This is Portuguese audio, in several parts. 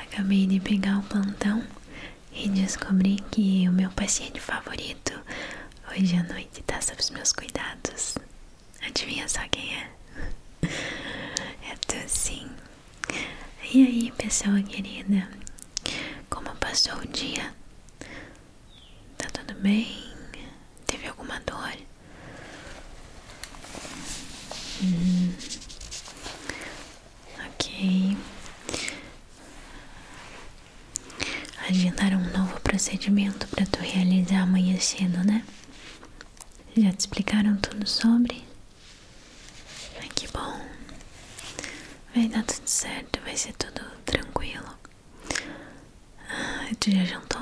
Acabei de pegar o plantão e descobri que o meu paciente favorito hoje à noite está sob os meus cuidados. Adivinha só quem é? É tu sim. E aí, pessoal querida? Como passou o dia? Tá tudo bem? Teve alguma dor? Hum. Ok. Agendar um novo procedimento para tu realizar amanhã cedo, né? Já te explicaram tudo sobre? Ai, que bom. Vai dar tudo certo, vai ser tudo tranquilo. Ah, tu já jantou?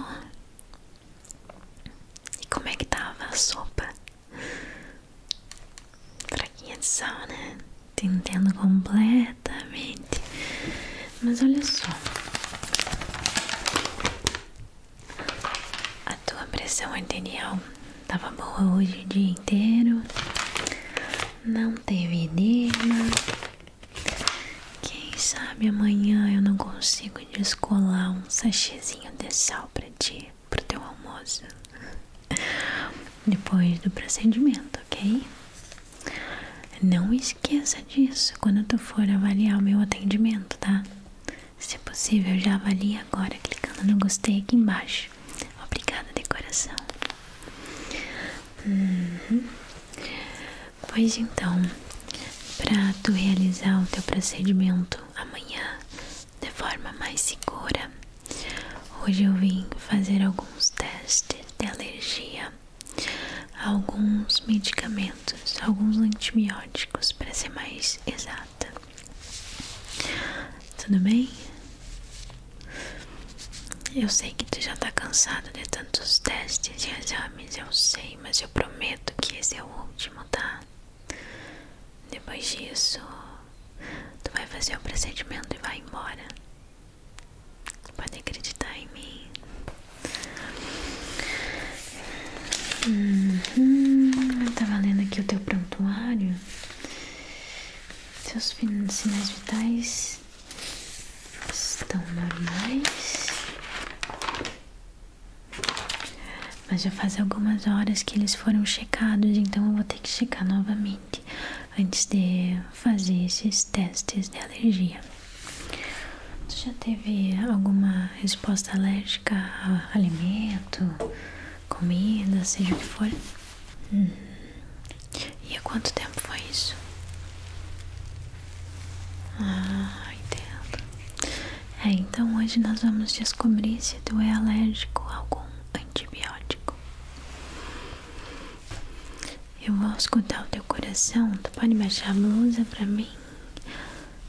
E como é que tava a sopa? Fraquinha de sal, né? entendo completamente. Mas olha só. A tua pressão arterial tava boa hoje o dia inteiro. Não teve edema. Quem sabe amanhã eu não consigo descolar um sachê de sal para ti, pro teu almoço depois do procedimento, ok? Não esqueça disso quando tu for avaliar o meu atendimento, tá? Se possível, já avalie agora clicando no gostei aqui embaixo. Obrigada de coração. Uhum. Pois então, para tu realizar o teu procedimento amanhã de forma mais segura. Hoje eu vim fazer alguns testes de alergia a alguns medicamentos, alguns antibióticos, para ser mais exata. Tudo bem? Eu sei que tu já tá cansado de tantos testes e exames, eu sei, mas eu prometo que esse é o último, tá? Depois disso, tu vai fazer o procedimento e vai embora. Pode acreditar em mim. Uhum. Eu tá lendo aqui o teu prontuário. Seus sinais vitais estão normais. Mas já faz algumas horas que eles foram checados, então eu vou ter que checar novamente antes de fazer esses testes de alergia. Você já teve alguma resposta alérgica a alimento, comida, seja o que for? Hum. E há quanto tempo foi isso? Ah, entendo. É, então hoje nós vamos descobrir se tu é alérgico a algum antibiótico. Eu vou escutar o teu coração. Tu pode baixar a blusa pra mim?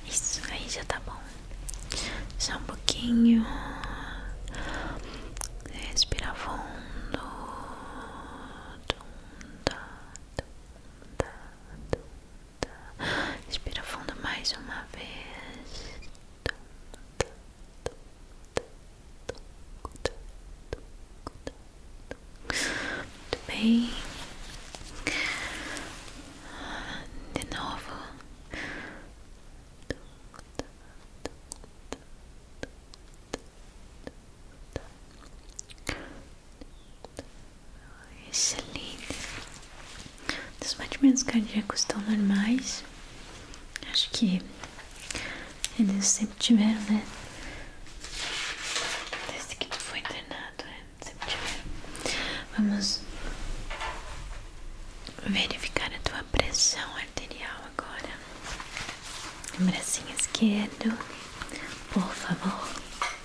Isso, aí já tá bom. Só um pouquinho. Respira fundo. Dum, da, dum, da, Respira fundo mais uma vez. Muito bem. De novo. Excelente. Os batimentos cardíacos estão normais. Acho que eles sempre tiveram, né? Desde que tu foi internado, né? sempre tiveram. Vamos verificar a tua pressão arterial agora. No bracinho esquerdo, por favor.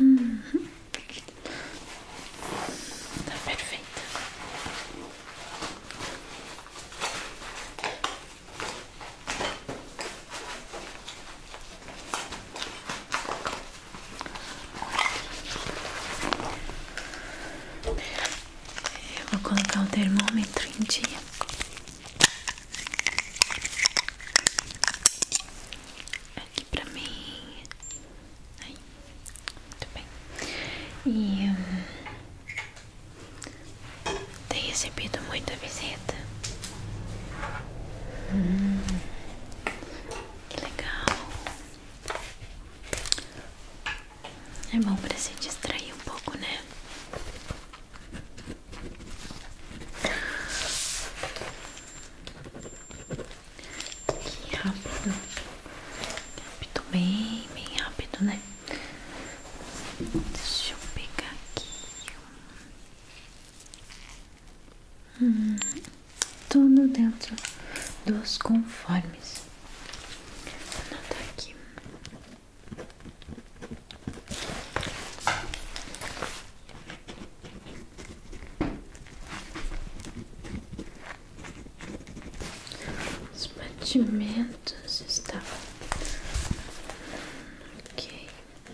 Uhum. Tá perfeita. Eu vou colocar o termômetro em dia. Aqui pra mim. Aí. Muito bem. E. Hum, tem recebido muita visita? Hum, que legal. É bom para se distrair um pouco, né? Que rápido. Rápido, bem, bem rápido, né? Deixa eu pegar aqui. Hum, tudo dentro dos conformes. Vou aqui. Os batimentos estavam ok.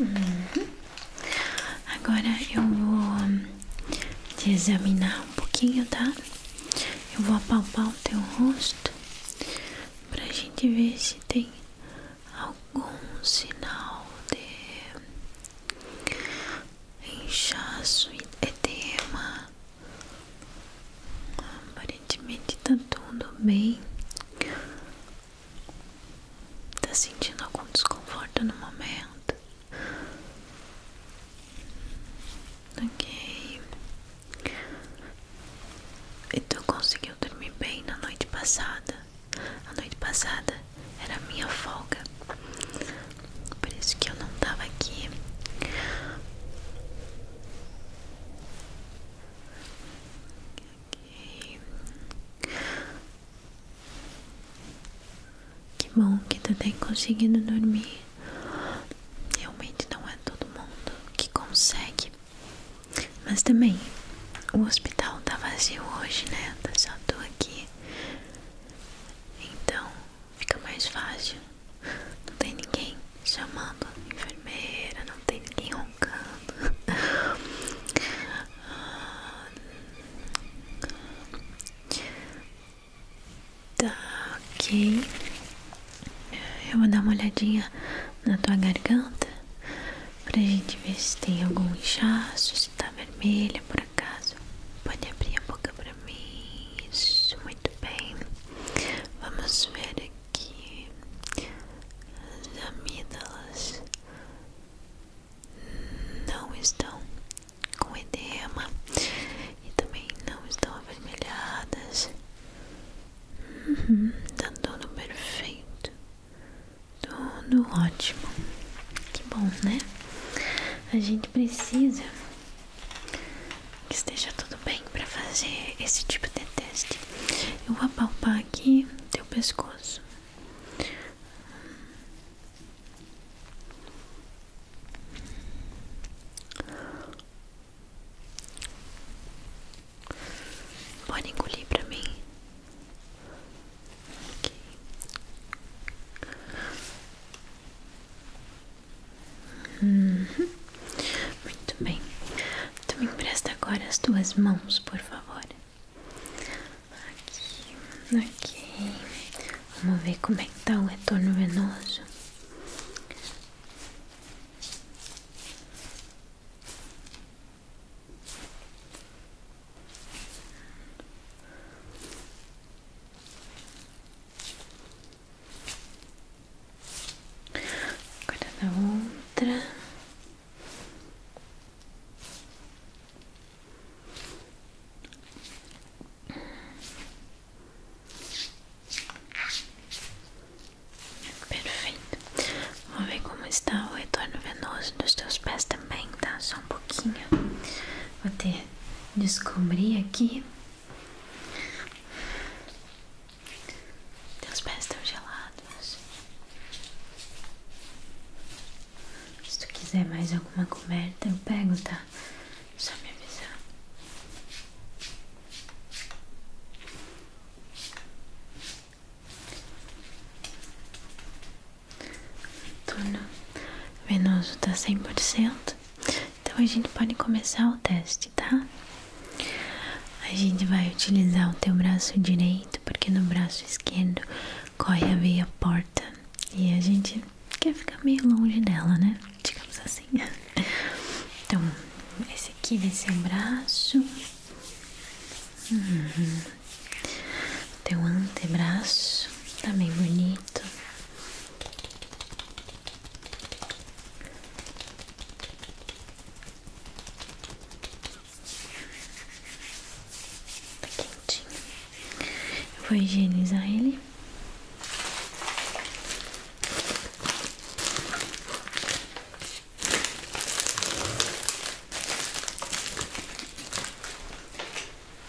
Uhum. Agora eu vou hum, te examinar um pouquinho, tá? Eu vou apalpar o teu rosto pra gente ver se tem algum sinal de inchaço, edema. Aparentemente tá tudo bem. Tá sentindo algum desconforto no momento? Ok. E tu conseguiu dormir bem na noite passada? A noite passada era a minha folga. Por isso que eu não tava aqui. Okay. Que bom que tu tem conseguido dormir. Realmente não é todo mundo que consegue. Mas também o hospital tá vazio hoje, né? Tá só tu aqui. Então fica mais fácil. Não tem ninguém chamando a enfermeira, não tem ninguém roncando. Tá, ok. Eu vou dar uma olhadinha na tua garganta pra gente ver se tem algum inchaço, se tá vermelha caso, Pode abrir a boca para mim. Isso, muito bem. Vamos ver aqui as amígdalas não estão com edema e também não estão avermelhadas. Uhum, tá tudo perfeito, tudo ótimo. Que bom, né? A gente precisa que esteja tudo bem para fazer esse tipo de teste. Eu vou apalpar aqui teu pescoço. Pode engolir para mim. Okay. Uhum. Muito bem. Tu me empresta agora as tuas mãos, por favor. Aqui, ok. Vamos ver como é que tá o retorno venoso. Agora da outra. Perfeito. Vamos ver como está o retorno venoso dos teus pés também, tá? Só um pouquinho. Vou ter descobrir aqui. Teus pés estão gelados. Se tu quiser mais alguma coberta, eu pego, tá? Só me avisar. Turno venoso tá cem por cento. Então a gente pode começar o teste, tá? A gente vai utilizar o teu braço direito, porque no braço esquerdo corre a veia porta e a gente quer ficar meio longe dela, né? Digamos assim. Então, esse aqui vai ser o braço, uhum. teu antebraço, tá bem bonito. Tá quentinho. Eu vou higienizar ele.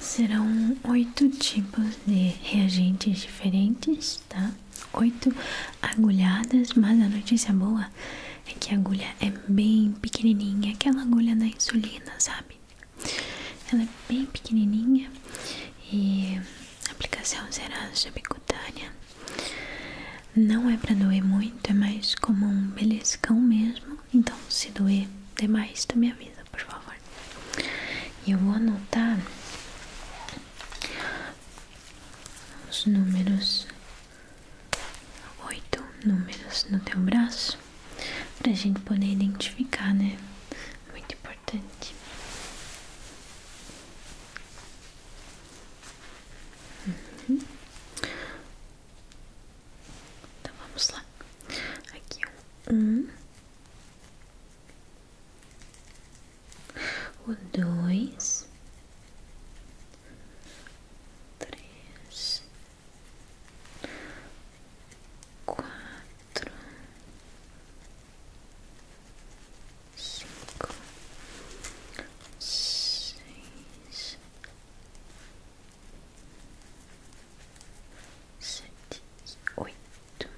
Serão oito tipos de reagentes diferentes, tá? Oito agulhadas, mas a notícia boa é que a agulha é bem pequenininha, aquela agulha da insulina, sabe? Ela é bem pequenininha e a aplicação será subcutânea. Não é para doer muito, é mais como um beliscão mesmo. Então, se doer demais, tu me avisa, por favor. E eu vou anotar os números, oito números no teu braço, pra gente poder identificar, né? Muito importante importante. Uhum. Então vamos lá. Aqui um, dois, três, quatro cinco, seis, sete, oito,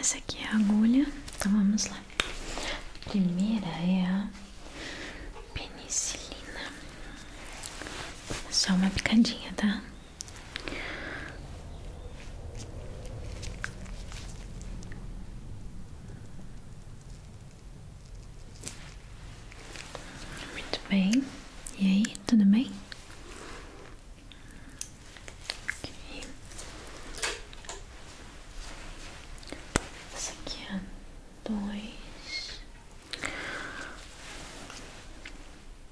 essa aqui é a agulha, então vamos lá. primeira é a penicilina. Só uma picadinha, tá? Muito bem, e aí, tudo bem? Okay. aqui é dois.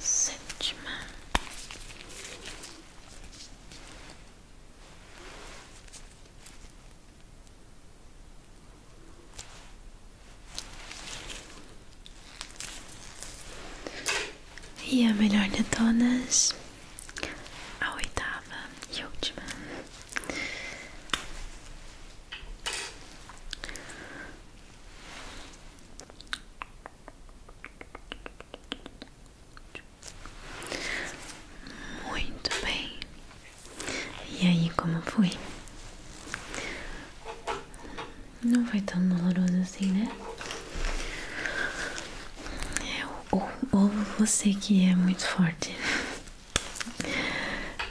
sétima, e a melhor de todas, a oitava e última. Muito bem. E aí, como foi? Não foi tão doloroso assim, né? É, ou você que é muito forte.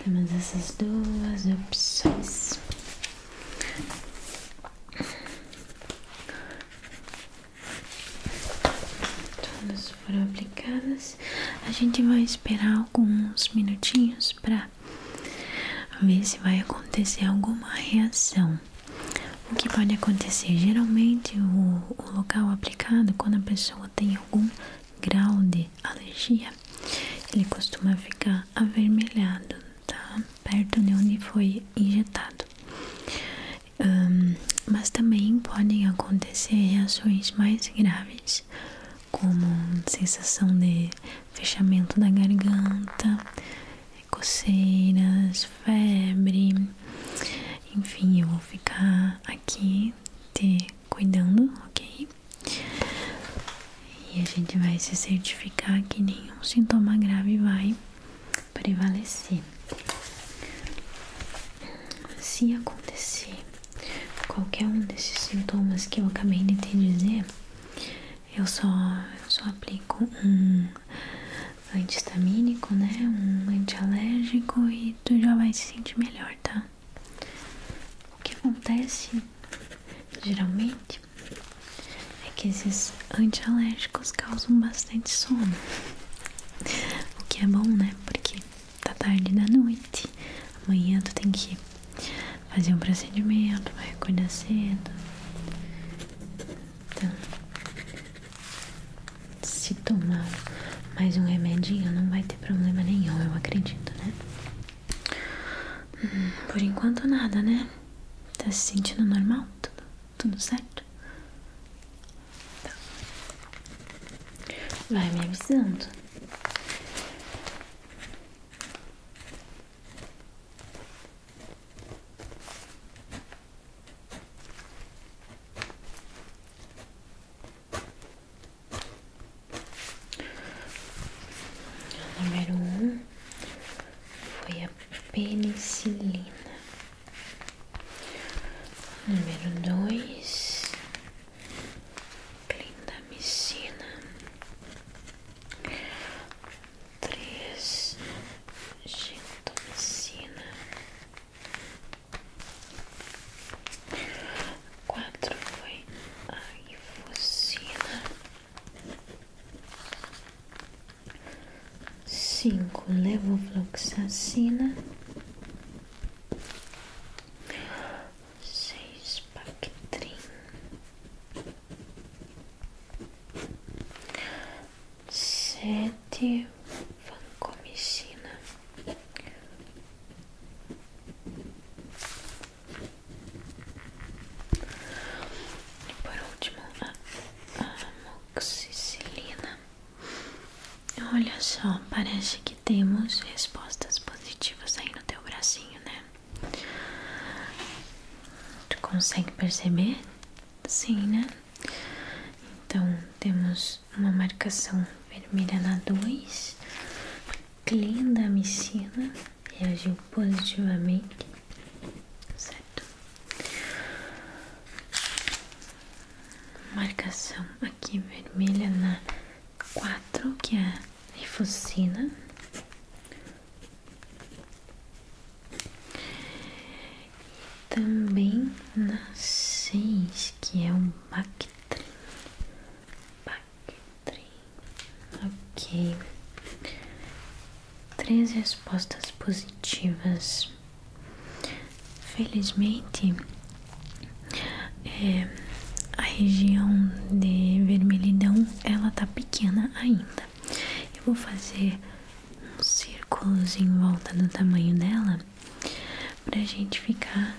Temos essas duas opções. Todas foram aplicadas. A gente vai esperar alguns minutinhos para ver se vai acontecer alguma reação. O que pode acontecer? Geralmente, o, local aplicado, quando a pessoa tem algum grau de alergia, ele costuma ficar avermelhado tá? Perto de onde foi injetado. mas também podem acontecer reações mais graves, como sensação de fechamento da garganta, coceiras, febre. Enfim, eu vou ficar aqui te cuidando, ok? E a gente vai se certificar que nenhum sintoma grave vai prevalecer. Se acontecer qualquer um desses sintomas que eu acabei de te dizer, eu só, eu só aplico um antihistamínico, né? Um antialérgico e tu já vai se sentir melhor, tá? O que acontece geralmente é que esses anti-alérgicos causam bastante sono, o que é bom, né? Porque tá tarde da noite, amanhã tu tem que fazer um procedimento, vai acordar cedo. Então, se tomar mais um remedinho, não vai ter problema nenhum, eu acredito, né? Hum, por enquanto nada, né? Tá se sentindo normal? Tudo, tudo certo? Tá. Vai me avisando número um foi a penicilina. número dois, clindamicina. Três, gentomicina. Quatro foi a ifosina. Cinco levofloxacina, seis Bactrim, sete vancomicina, e por último, a, amoxicilina. Olha só, parece que temos respostas positivas aí no teu bracinho, né? Tu consegue perceber? Sim, né? Então, temos uma marcação vermelha na 2, clindamicina reagiu positivamente, certo? Marcação aqui vermelha na quatro que é a e Também na seis que é o Bactrim. Ok. Três respostas positivas. Felizmente, eh, a região de vermelhidão ela tá pequena ainda. Eu vou fazer um círculos em volta do tamanho dela para a gente ficar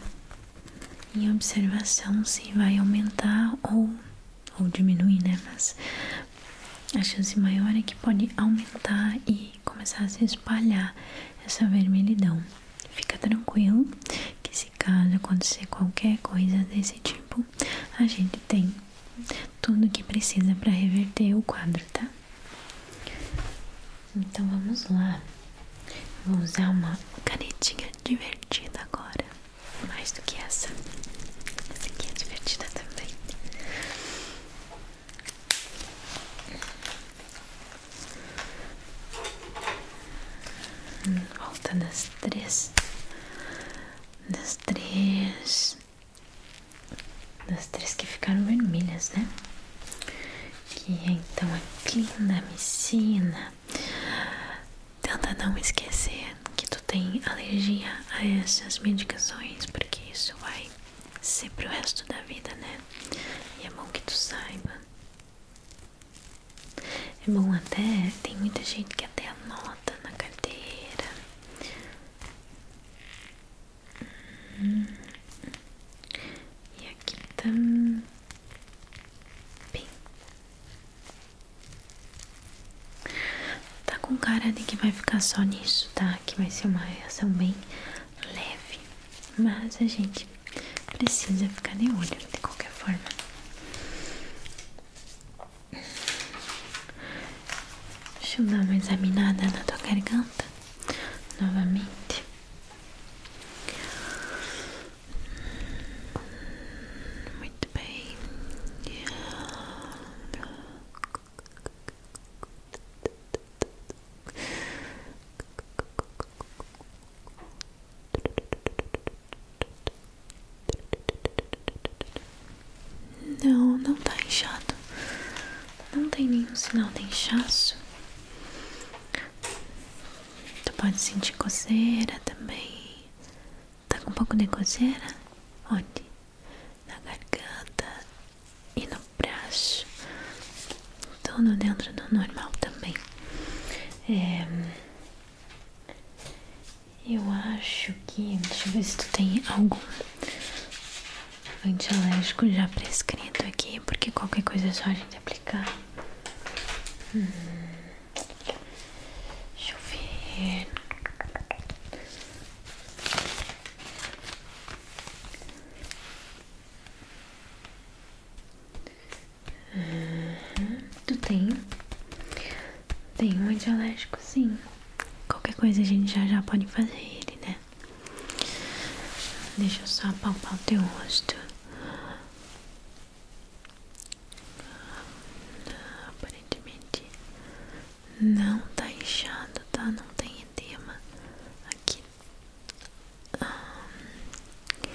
em observação se vai aumentar ou ou diminuir, né? Mas a chance maior é que pode aumentar e começar a se espalhar essa vermelhidão. Fica tranquilo que se caso acontecer qualquer coisa desse tipo, a gente tem tudo que precisa para reverter o quadro, tá? Então vamos lá. Vou usar uma canetinha divertida agora mais do que essa. Essa aqui é divertida também. Hum, volta nas três, nas três, nas três que ficaram vermelhas, né? Que é então a clindamicina, Tenta não esquecer que tu tem alergia a essas medicações, porque isso vai ser pro resto da vida, né? E é bom que tu saiba. É bom até, tem muita gente que até anota na carteira. Hum. E aqui também. Tá... Tá com cara de que vai ficar só nisso, tá? Que vai ser uma reação bem leve, mas a gente precisa ficar de olho de qualquer forma. Deixa eu dar uma examinada na tua garganta novamente. Muito bem. Não, não está inchado. Não tem nenhum sinal de inchaço. Tu pode sentir coceira também. Tá com um pouco de coceira? Onde? Na garganta e no braço. Tudo então, dentro do normal também. É, eu acho que. Deixa eu ver se tu tem algum antialérgico já prescrito aqui, porque qualquer coisa é só a gente aplicar. Hum. Deixa eu ver. Tu tem? Tem um antialérgico, sim. Qualquer coisa a gente já já pode fazer ele, né? Deixa eu só apalpar o teu rosto. Aparentemente não tá inchado, tá? Não tem edema aqui. Um,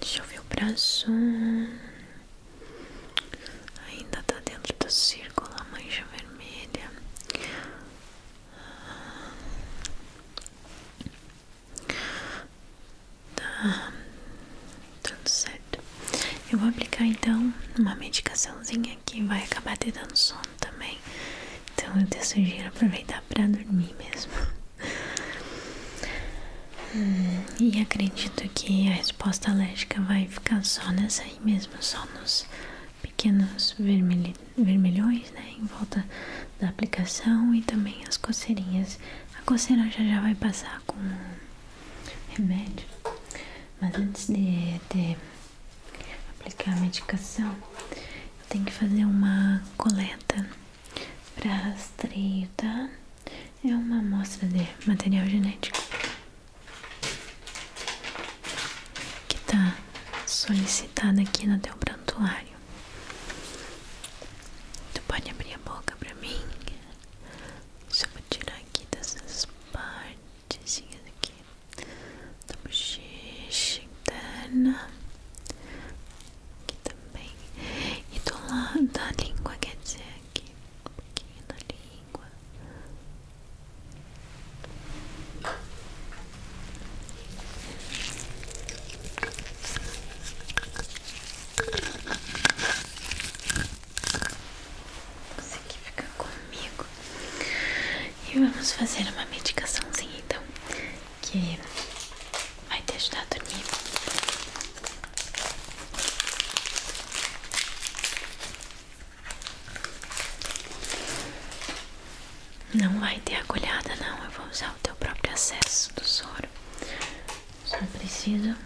Deixa eu ver o braço. Ainda tá dentro do círculo a mancha vermelha. Tá tudo certo. Eu vou aplicar então uma medicaçãozinha que vai acabar te dando sono também. Então eu te sugiro aproveitar para dormir mesmo. Hum, e acredito que a resposta alérgica vai ficar só nessa aí mesmo, só nos pequenos vermelhões né, em volta da aplicação e também as coceirinhas. A coceira já já vai passar com remédio, mas antes de, de aplicar a medicação, eu tenho que fazer uma coleta para rastreio, tá? É uma amostra de material genético que tá solicitada aqui no teu prantuário. Tu pode abrir a boca para mim? Eu vou tirar aqui dessas partes aqui da bochecha interna. Aqui também. E do lado da língua, quer dizer, aqui um pouquinho da língua. Você que fica comigo e vamos fazer uma medicaçãozinha então que vai te ajudar a dormir. Não vai ter agulhada não, eu vou usar o teu próprio acesso do soro. Só preciso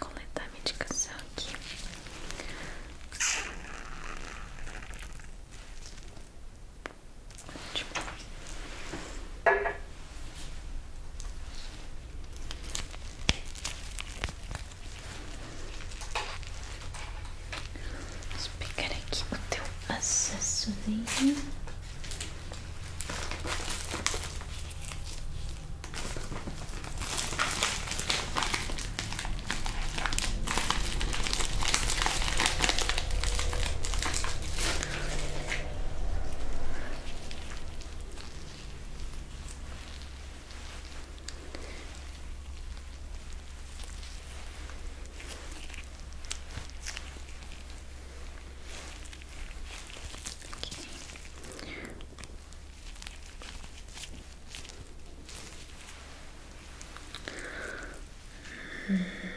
coletar a medicação aqui. Vamos pegar aqui o teu acessório.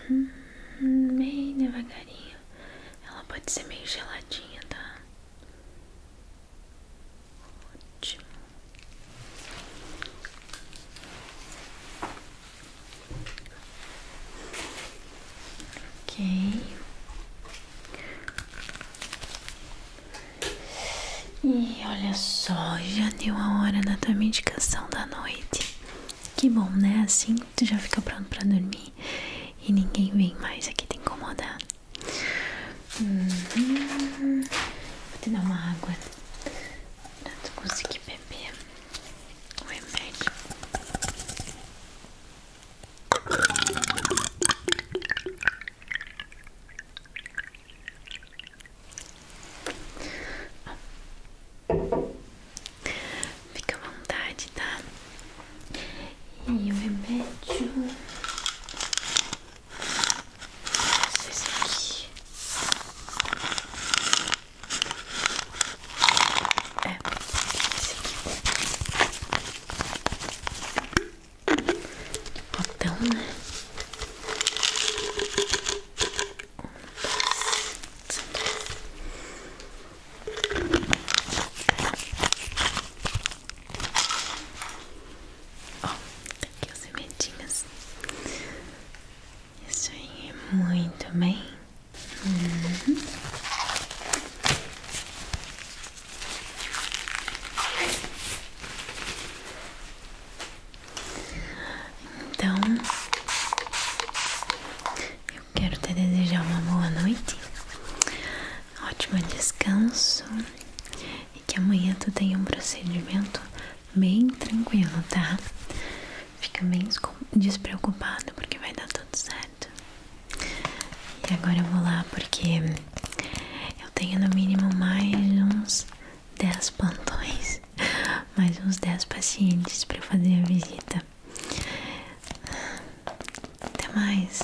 Uhum. Bem devagarinho. Ela pode ser meio geladinha, tá? Ótimo. Ok. E olha só, já deu a hora da tua medicação da noite. Que bom, né? Assim tu já fica pronto pra dormir e ninguém vem mais aqui te incomodar. Uhum. Vou te dar uma água. Antes consegui beber o remédio. Fica à vontade, tá? E o remédio esse aqui é esse aqui botão, né? Um, dois, Ó, oh, aqui as sementinhas. Isso aí, é muito bem. Então, eu quero te desejar uma boa noite, ótimo descanso e que amanhã tu tenha um procedimento bem tranquilo, tá? Fica bem despreocupado porque vai dar tudo certo. E agora eu vou lá porque eu tenho no mínimo mais uns 10 plantões, mais uns 10 pacientes para fazer a visita. Até mais.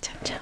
Tchau, tchau.